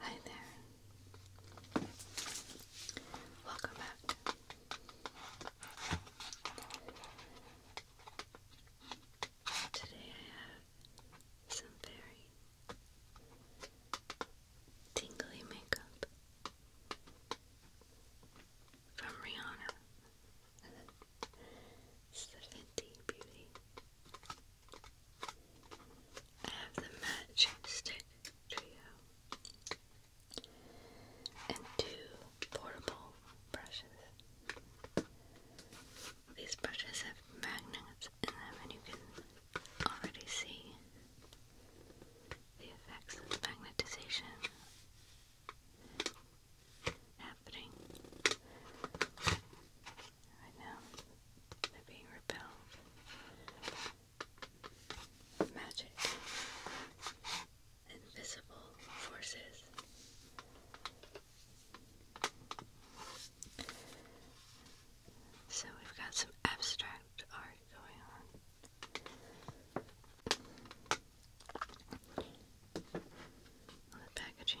Hi there. Welcome back. Today I have some very tingly makeup from Rihanna. It's the Fenty Beauty. I have the match stick trio and two portable brushes. These brushes have magnets in them, and you can already see the effects of magnetization happening right now. They're being repelled. Magic. Invisible forces. So we've got some abstract art going on. the packaging.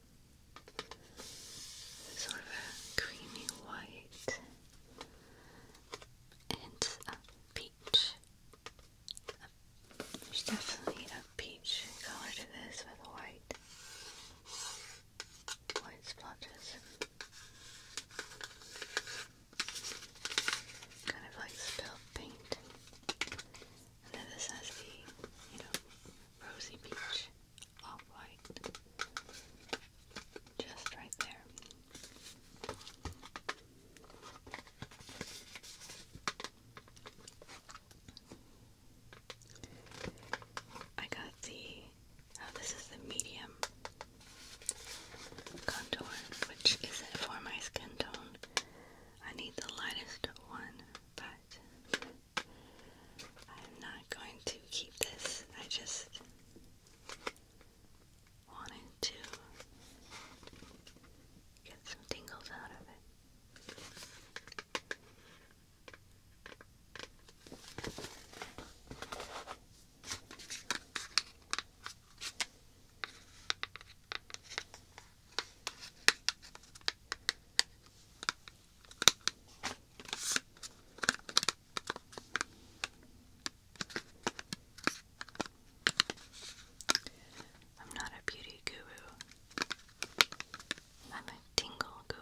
sort of a creamy white and a peach. There's definitely a peach color to this with white, white splotches. Kind of like spilled paint. And then this has the, you know, rosy peach off white. Just right there. I got the, oh, this is the medium contour, which isn't for my skin tone. I need the lightest one, but I'm not going to keep this. I just wanted to get some tingles out of it. I'm not a beauty guru. I'm a tingle guru.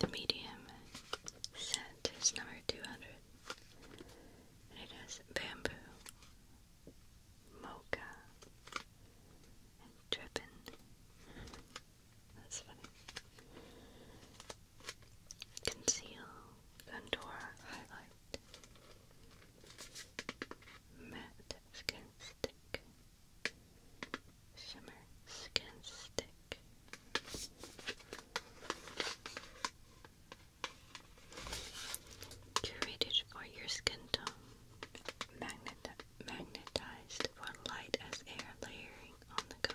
The medium scent is number 200 and it has bamboo, mocha, dripping. That's funny. Conceal, contour, highlight, matte skin stick, shimmer skin stick. Curated for your skin tone magnetized for light as air layering on the go.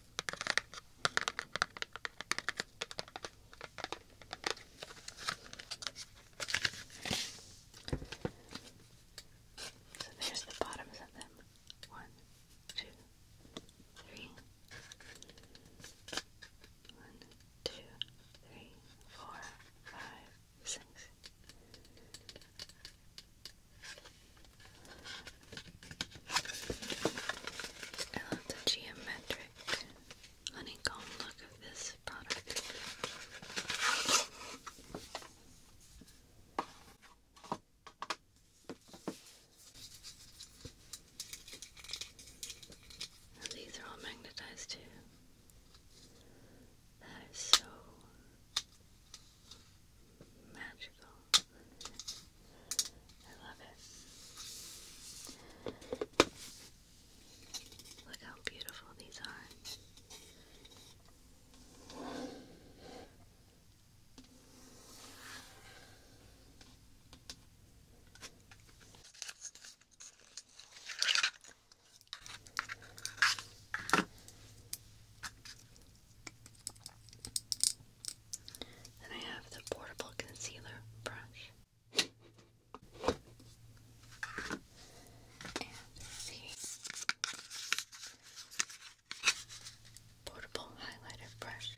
So there's the bottoms of them. One, two, three. One, I love the geometric honeycomb look of this product. these are all magnetized too. That is so Magical. I love it. Look how beautiful these are. And I have the portable concealer brush. portable highlighter brush.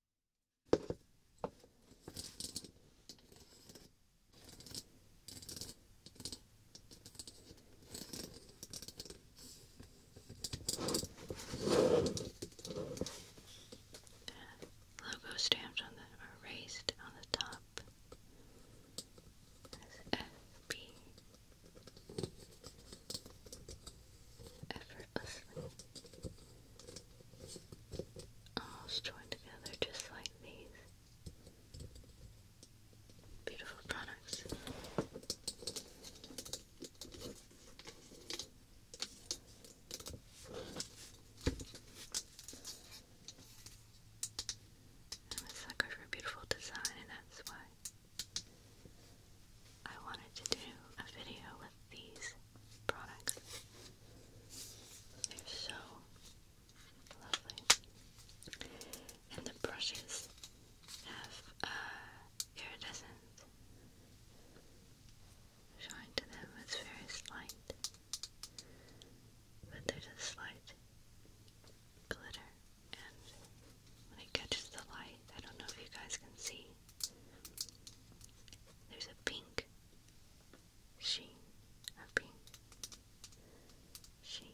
Logo stamped on the erased on the top as effortlessly. All joined together just like these beautiful products. I'm a sucker for beautiful design, and that's why I wanted to do a video with these products. They're so lovely. And the brushes have uh, iridescent shine to them. It's very slight, but there's a slight glitter. And when it catches the light, I don't know if you guys can see, there's a pink she a she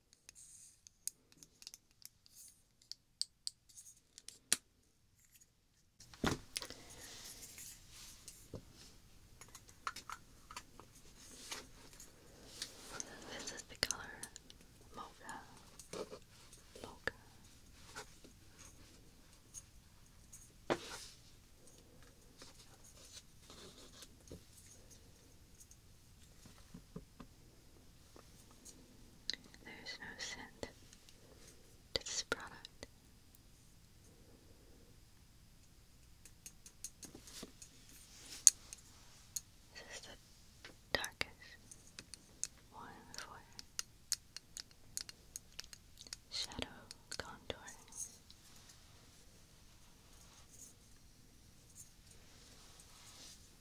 This is the color mocha. Mocha. There is no scent to this product. is the darkest one in Shadow contouring.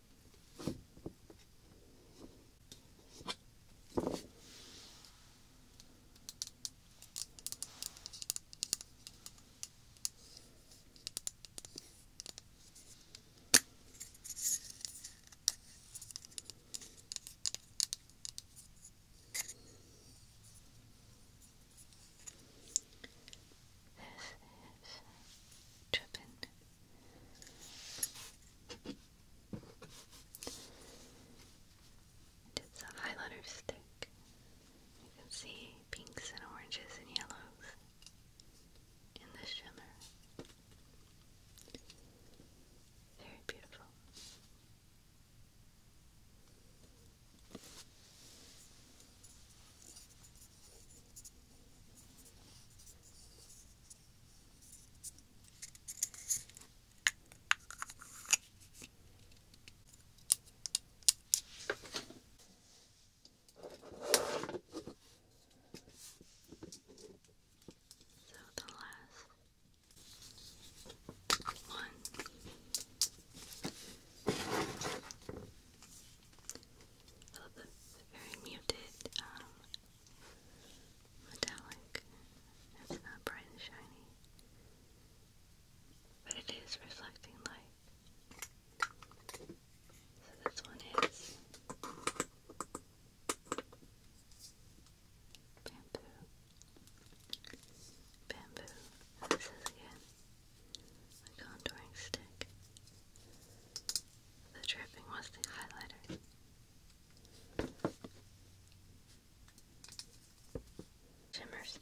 This is Drippin' it's a highlighter stick. You can see pinks and oranges and yellows in the shimmer. Very beautiful. So the last one Oh, a little very muted, um, metallic. It's not bright and shiny, but it is reflecting light. So this one is bamboo, bamboo. this is again a contouring stick. The dripping was the highlighter. Shimmer stick.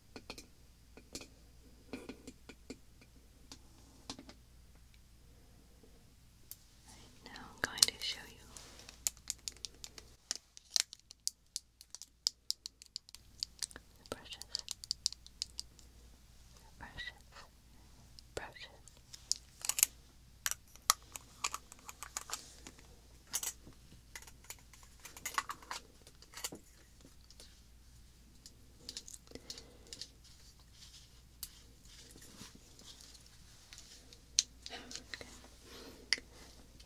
Right now, I'm going to show you the brushes, brushes, brushes.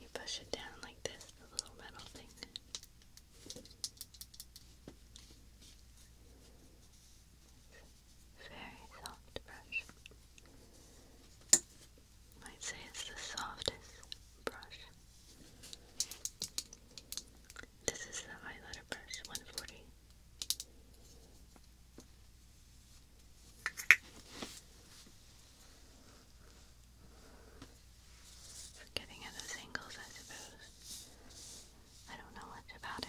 You push it down like this, the little metal thing. Very soft brush. i say it's the softest brush. This is the eyeliner brush, 140. getting at those angles, I suppose. I don't know much about it.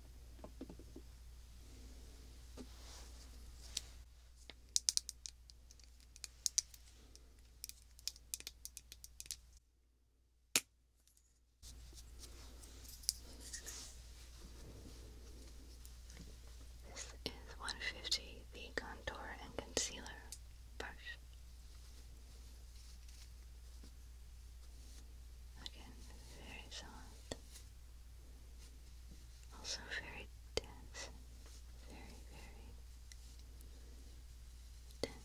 This is 150, the contour and concealer brush. Again, very soft. Also very dense. Very, very dense. Very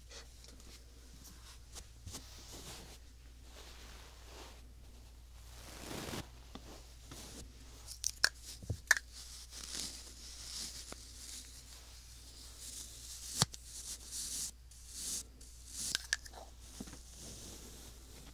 I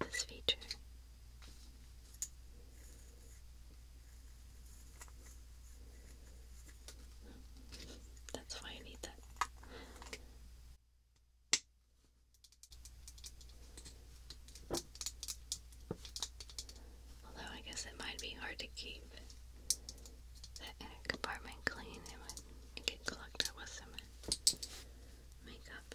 love this feature. That's why I need that. Although I guess it might be hard to keep that compartment clean, it might get clogged up with some makeup.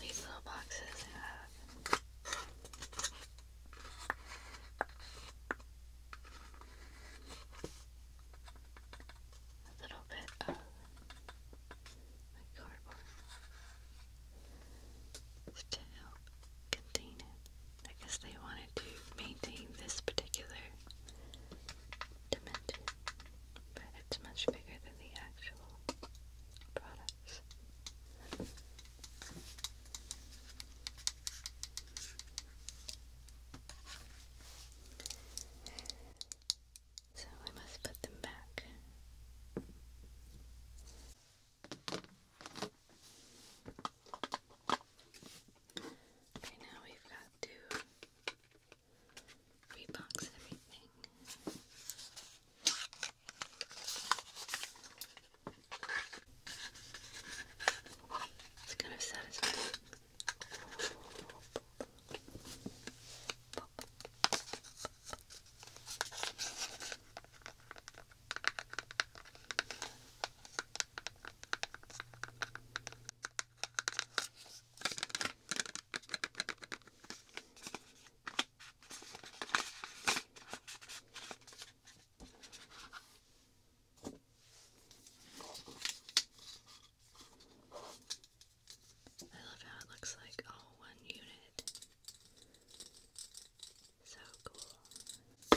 These little boxes have a little bit of cardboard to help contain it. I guess they wanted to maintain this particular dimension, but it's much bigger than the actual product this. So I must put them back. Okay, now we've got to rebox everything. It's kind of satisfying. I love how it looks like all one unit. So cool. I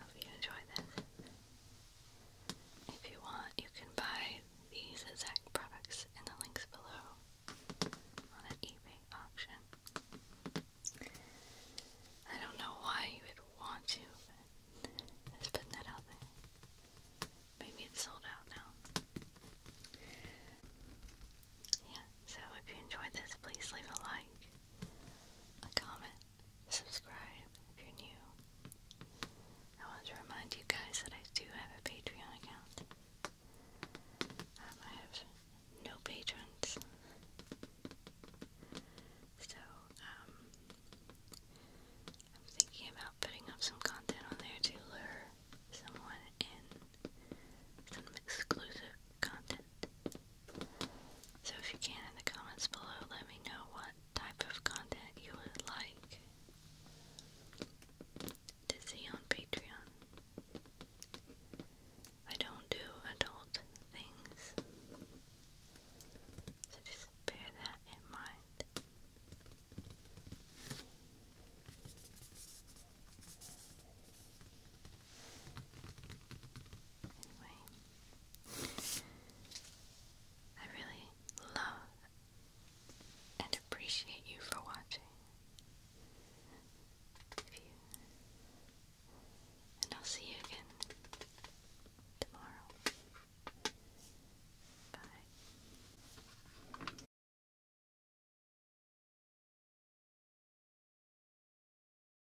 Hope you enjoy this. If you want, you can buy these exact products in the links below on an eBay auction. I don't know why you would want to, but let's put that out there. Maybe it's sold out now. Yeah, so if you enjoyed this, please leave a like, a comment, subscribe if you're new. I want to remind you guys that I do have a Patreon account. Um, I have no patrons. So, um, I'm thinking about putting up some content on there to lure someone in. Some exclusive content. So if you can in the comments below, let me know what type of content you would like to see on Patreon. I don't do adult things. So just bear that in mind. Anyway, I really love and appreciate you for watching. If you, and I'll see you again tomorrow. Bye.